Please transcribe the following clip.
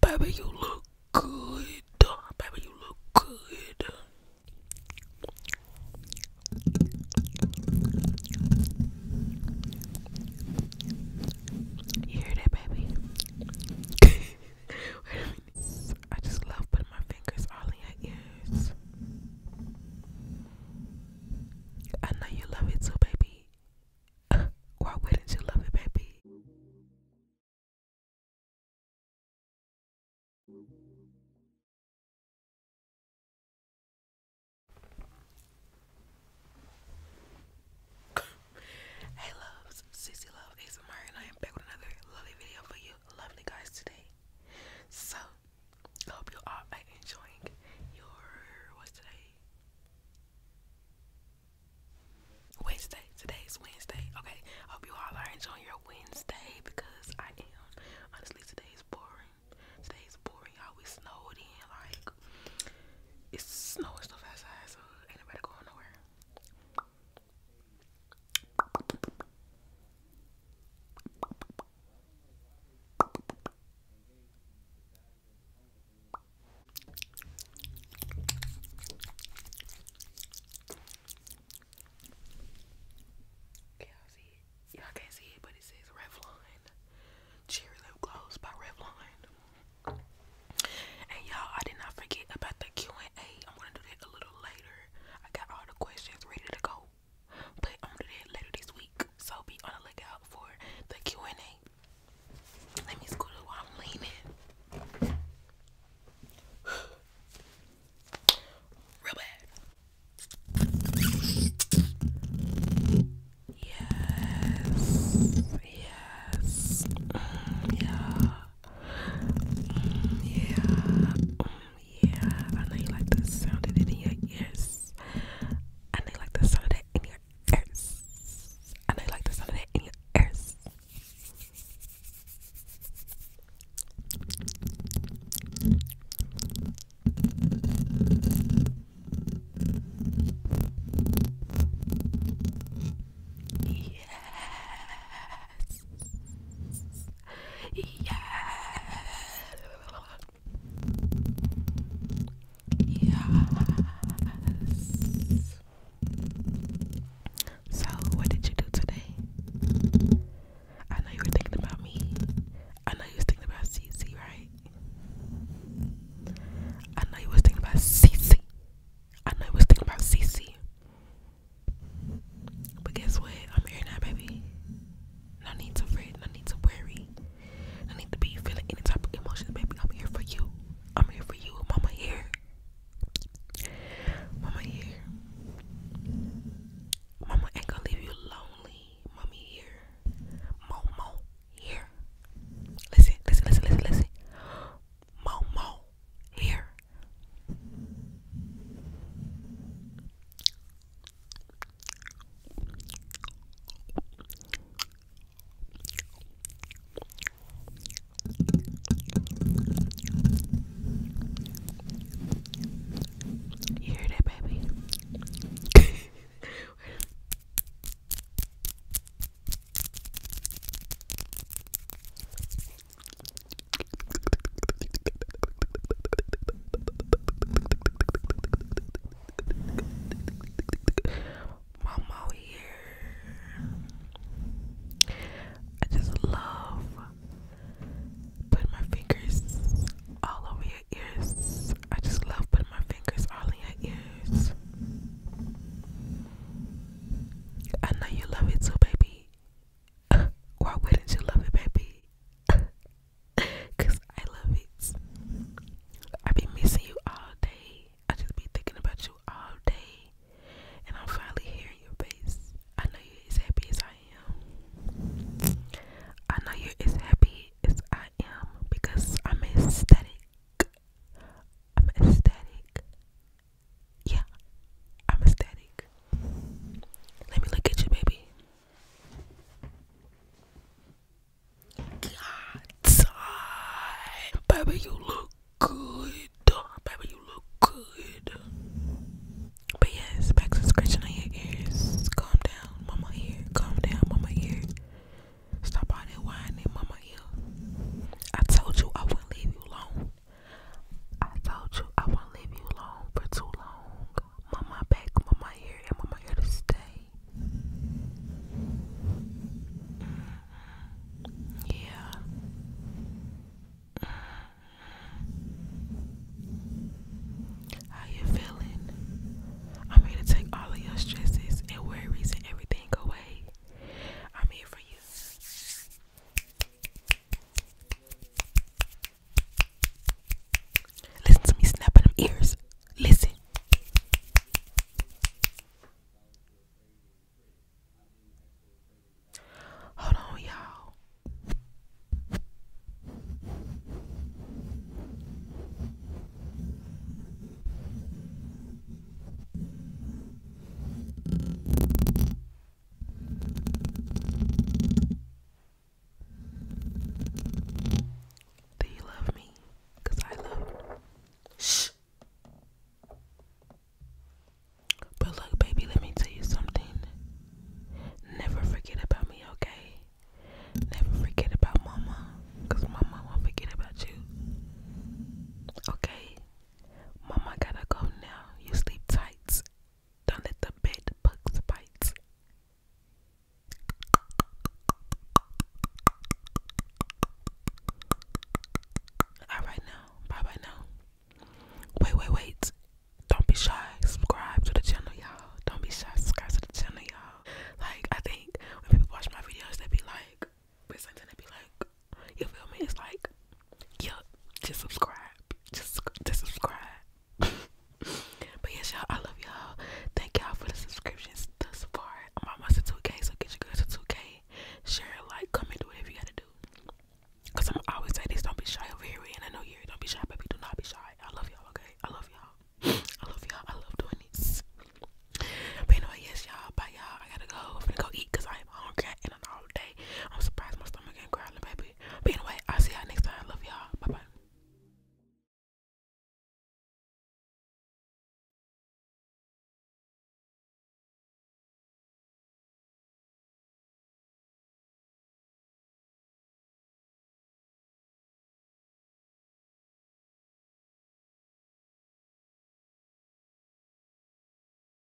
Baby, you look good. Baby, you look good. You hear that, baby? I just love putting my fingers all in your ears. I know you love it too, baby. Why wouldn't you love it, baby? hey loves, Sissy Love ASMR and I am back with another lovely video for you lovely guys today. So I hope you are enjoying your what's today? Wednesday. Today's Wednesday. Okay. hope you all are enjoying your Wednesday because I am. Honestly, today's boring. Today's boring. you we snowed in. Like, it's snowing stuff outside, so ain't going nowhere see it. Y'all can't see it, but it says Revlon Cherry Gloss by Revlon. And y'all, I did not forget about the Q and A. I'm gonna do that a little later. I got all the questions ready to go, but i that later this week. So be on the lookout for the Q and A let me scoot it while I'm leaning. Real bad. Yes. Yes. Mm, yeah. Mm, yeah. Mm, yeah. I know you like the sound of it in your ears. I know you like the sound of that in your and I like the sound of it in your ears. Yes. Yes. Yes. So, what did you do today? I know you were thinking about me. I know you was thinking about CC, right? I know you was thinking about CC. I know you was thinking about CC. But guess what? I'm here now, baby. No need to fret. No need to worry. I need to be feeling any type of emotions, baby. I'm here for you. I'm here for you. Mama here. Mama here. Mama ain't gonna leave you lonely. Mommy here. Momo here. Listen, listen, listen, listen, listen. Momo here. You hear that, baby? Mama here. I just love putting my fingers all over your ears. I just love putting my fingers all in your ears. I know you love it too, baby. Why wouldn't you love it, baby? Cause I love it. I be missing you all day. I just be thinking about you all day. And I'm finally hearing your face. I know you're as happy as I am. I know you're as happy as I am because I'm aesthetic. I'm aesthetic. Yeah, I'm ecstatic. Let me look at you, baby. God's eye. Baby, you look good. Baby, you look good. But yes, back scratching on your ears. Calm down, mama ear. Calm down, mama ear. Stop all that whining, mama ear. I told you I wouldn't leave you alone. I told you I wouldn't leave you alone for too long mama back, mama here, and mama here to stay. Yeah. How you feeling? I'm here to take all of your stresses and worries and everything away. I'm here for you. Listen to me snapping them ears. Listen. Hold on, y'all. Do you love me? Cause I love Shh. But look, baby, let me tell you something. Never forget about me, okay? Never forget about mama. Cause mama won't forget about you. Okay? Mama gotta go now. You sleep tight. Don't let the bed bugs bite. Alright now, bye bye now. Wait, wait, wait. Don't be shy. Subscribe to the channel, y'all. Don't be shy. Subscribe to the channel, y'all. Like, I think when people watch my videos, they be like, it's something they be like, you feel me? It's like, yeah, just subscribe. Just, just subscribe but yes, y'all, I love y'all. Thank y'all for the subscriptions thus far. I'm almost at 2K, so get your girls to 2K. Share, a like, comment, do whatever you gotta do. Cause I'm always saying this, don't be shy over here. We in a new year. Don't be shy, baby. Do not be shy. I love y'all, okay? I love y'all. I love y'all. I love doing this. But anyway, yes, y'all. Bye, y'all. I gotta go. am gonna go eat because I am hungry and an all day. I'm surprised my stomach ain't growling, baby stupid. But anyway, I'll see y'all next time. Love y'all. Bye bye.